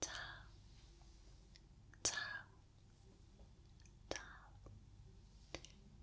Ciao, ciao, ciao.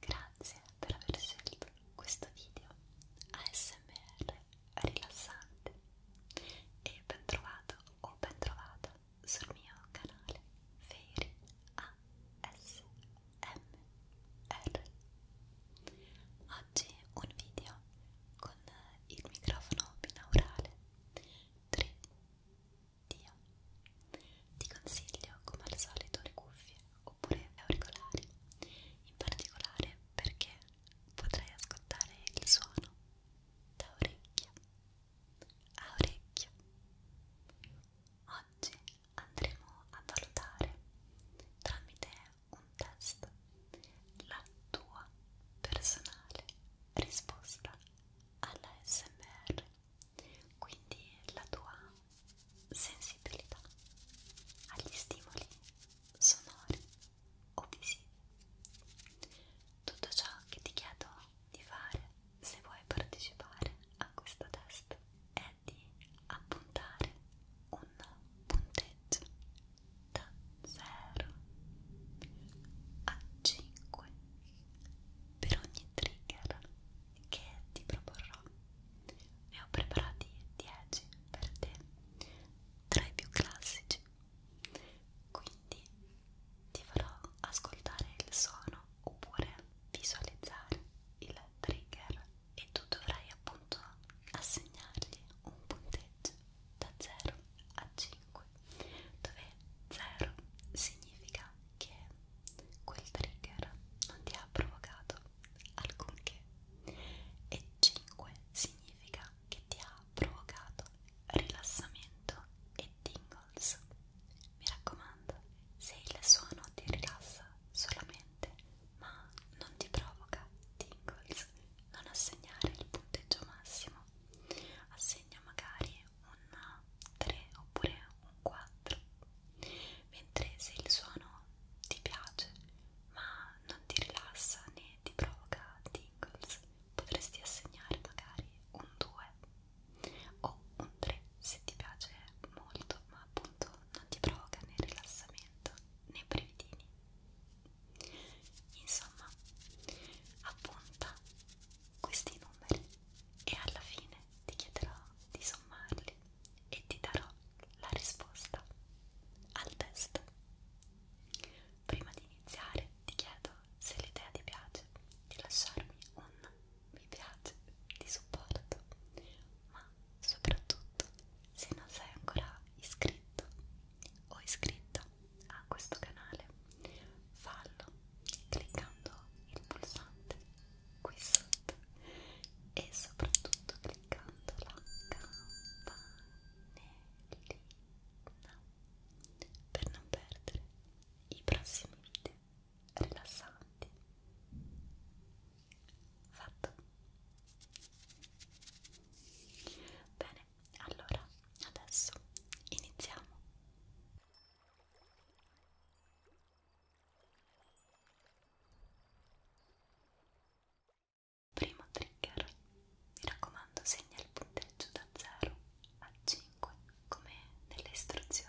Grazie per aver scelto questo video ASMR rilassante e ben trovato o ben trovata sul mio canale Fairy ASMR. Oggi un video con il microfono binaurale 3 Dio Ti consiglio come al solito le cuffie oppure auricolari in particolare perché potrai ascoltare il suono da orecchio a orecchio Oggi andremo a valutare tramite un test la tua personale risposta alla SMR, quindi la tua sensibilità agli stimoli sonori o visivi. Tutto ciò che ti chiedo di fare se vuoi partecipare a questo test è di appuntare un punteggio da 0 a 5 per ogni trigger che ti proporrò ne ho preparati 10 per te tra i più classici quindi ti farò ascoltare il suono oppure visualizzare il trigger e tu dovrai appunto assegnargli un punteggio da 0 a 5 dove 0 significa che quel trigger non ti ha provocato alcunché e 5 significa che ti ha provocato rilassamento e tingles mi raccomando se il suono ti rilassa solamente ma non ti provoca tingles non assegnare il punteggio massimo ognuno assegna magari un 3 oppure un 4 mentre se il suono ti piace ma non ti rilassa né ti provoca tingles potresti assegnare magari un 2 o un 3 se ti piace molto ma appunto non ti provoca né rilassamento né brevidini Insomma, appunta questi numeri e alla fine ti chiederò di sommarli e ti darò la risposta al test. Prima di iniziare ti chiedo se l'idea ti piace di lasciarmi un mi piace di supporto, ma soprattutto se non sei ancora iscritto o iscritta a questo canale fallo cliccando il pulsante qui sotto e soprattutto cliccando la campanellina per non perdere i prossimi video rilassanti fatto bene allora, adesso iniziamo. Primo trigger, mi raccomando segna il punteggio da 0 a 5 come nelle istruzioni.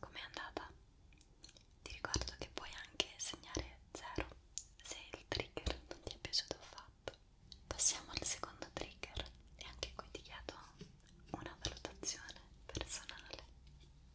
Com'è andata? Ti ricordo che puoi anche segnare 0 se il trigger non ti è piaciuto affatto. Passiamo al secondo trigger e anche qui ti chiedo una valutazione personale.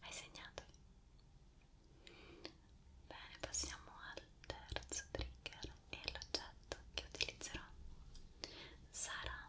Hai segnato? Bene, passiamo al terzo trigger e l'oggetto che utilizzerò sarà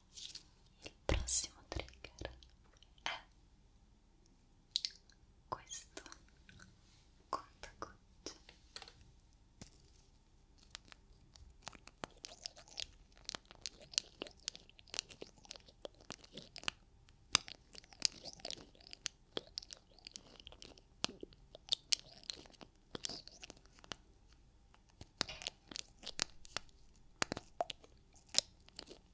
il prossimo trigger è questo contagocce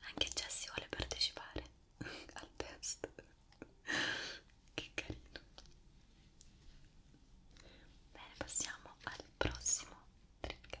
Anche Jessie vuole partecipare al test. che carino. Bene, passiamo al prossimo trigger.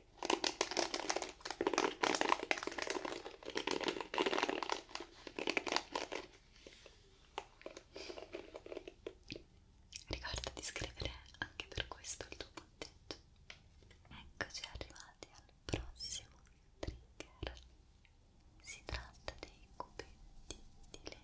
Ricorda di scrivere anche per questo il tuo punteggio. Eccoci arrivati al prossimo trigger. Si tratta dei cubetti di legno.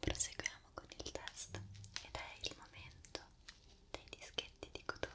Proseguiamo con il test ed è il momento dei dischetti di cotone.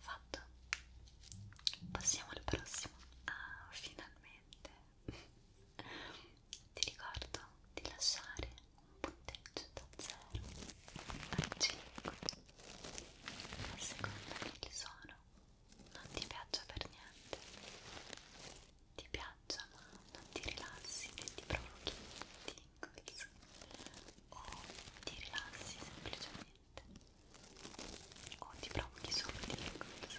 Fatto. Passiamo al prossimo. Ah, finalmente ti ricordo di lasciare un punteggio da 0 a 5 a seconda che il suono non ti piaccia per niente ti piaccia ma non ti rilassi e ti provochi tingles o ti rilassi semplicemente o ti provochi solo tingles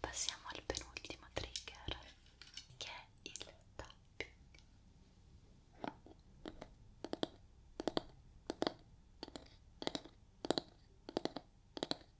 Passiamo al penultimo trigger che è il tapping.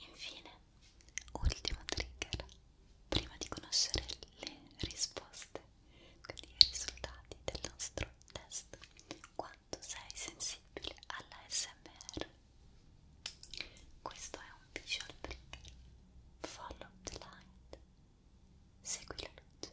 Infine, ultimo trigger prima di conoscere le risposte, quindi i risultati del nostro test, quanto sei sensibile alla SMR. Questo è un visual trigger. Follow the light. Segui la luce.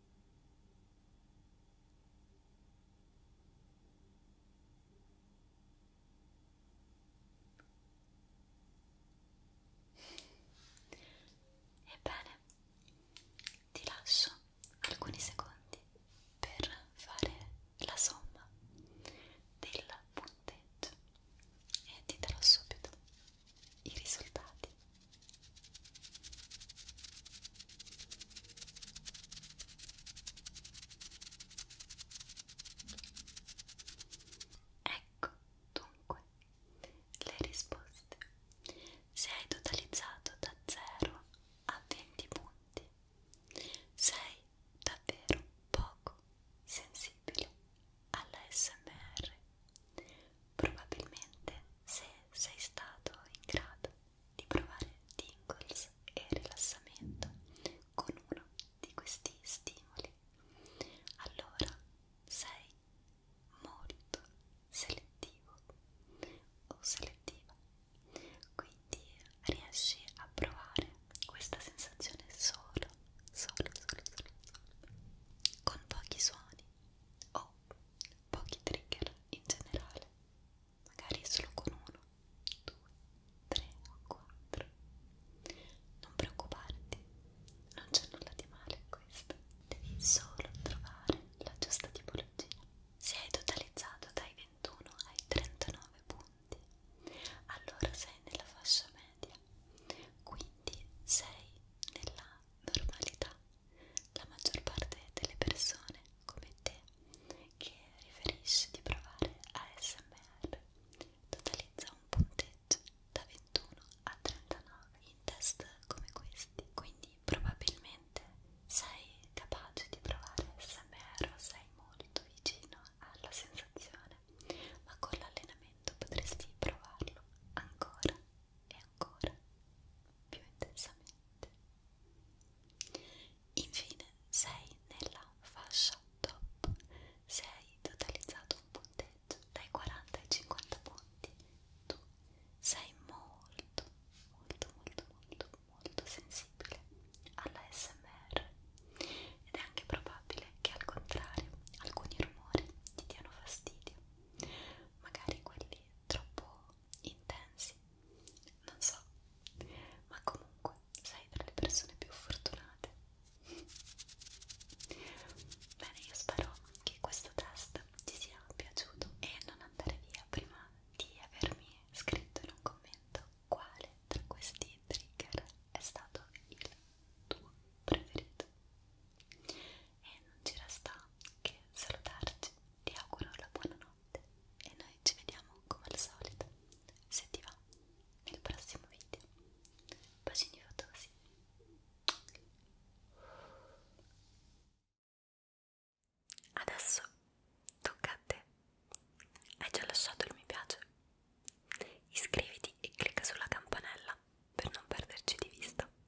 Ebbene, ti lascio alcuni secondi per fare la somma del punteggio e ti darò subito i risultati. Ecco dunque le risposte. Se hai totalizzato da 0 a 20 punti, sei davvero poco sensibile alla SMR. Probabilmente se sei stato in grado di provare tingles e rilassamento con uno di questi stimoli, allora sei molto selettivo o selettiva, quindi riesci a provare questa sensazione solo, solo, solo, solo, solo con pochi suoni o pochi trigger in generale, magari solo con uno, due, tre o quattro. Non preoccuparti, non c'è nulla di male in questo. Devi solo trovare la giusta tipologia. Se hai totalizzato dai 21 ai 39 punti, allora sei nella fascia media, quindi sei nella normalità la maggior parte delle persone come te che riferisce di provare ASMR totalizza un punteggio da 21 a 39 in test come questi, quindi probabilmente sei capace di provare ASMR o sei molto vicino alla sensazione, ma con l'allenamento potresti provarlo ancora e ancora più intensamente. Infine sei nella fascia top se hai totalizzato un punteggio dai 40 ai 50 punti. Tu sei molto, molto, molto, molto, molto sensibile alla SMR ed è anche probabile che al contrario alcuni rumori ti diano fastidio, magari quelli troppo intensi, non so, ma comunque sei tra le persone più fortunate. Bene, io spero che questo test ti sia piaciuto e non andare via prima di avermi scritto in un commento quale tra questi trigger è stato il tuo preferito e non ci resta che salutarci, ti auguro la buonanotte e noi ci vediamo come al solito, se ti va, nel prossimo video. Bacini fotosi! Adesso tocca a te. Hai già lasciato il mi piace? Iscriviti e clicca sulla campanella per non perderci di vista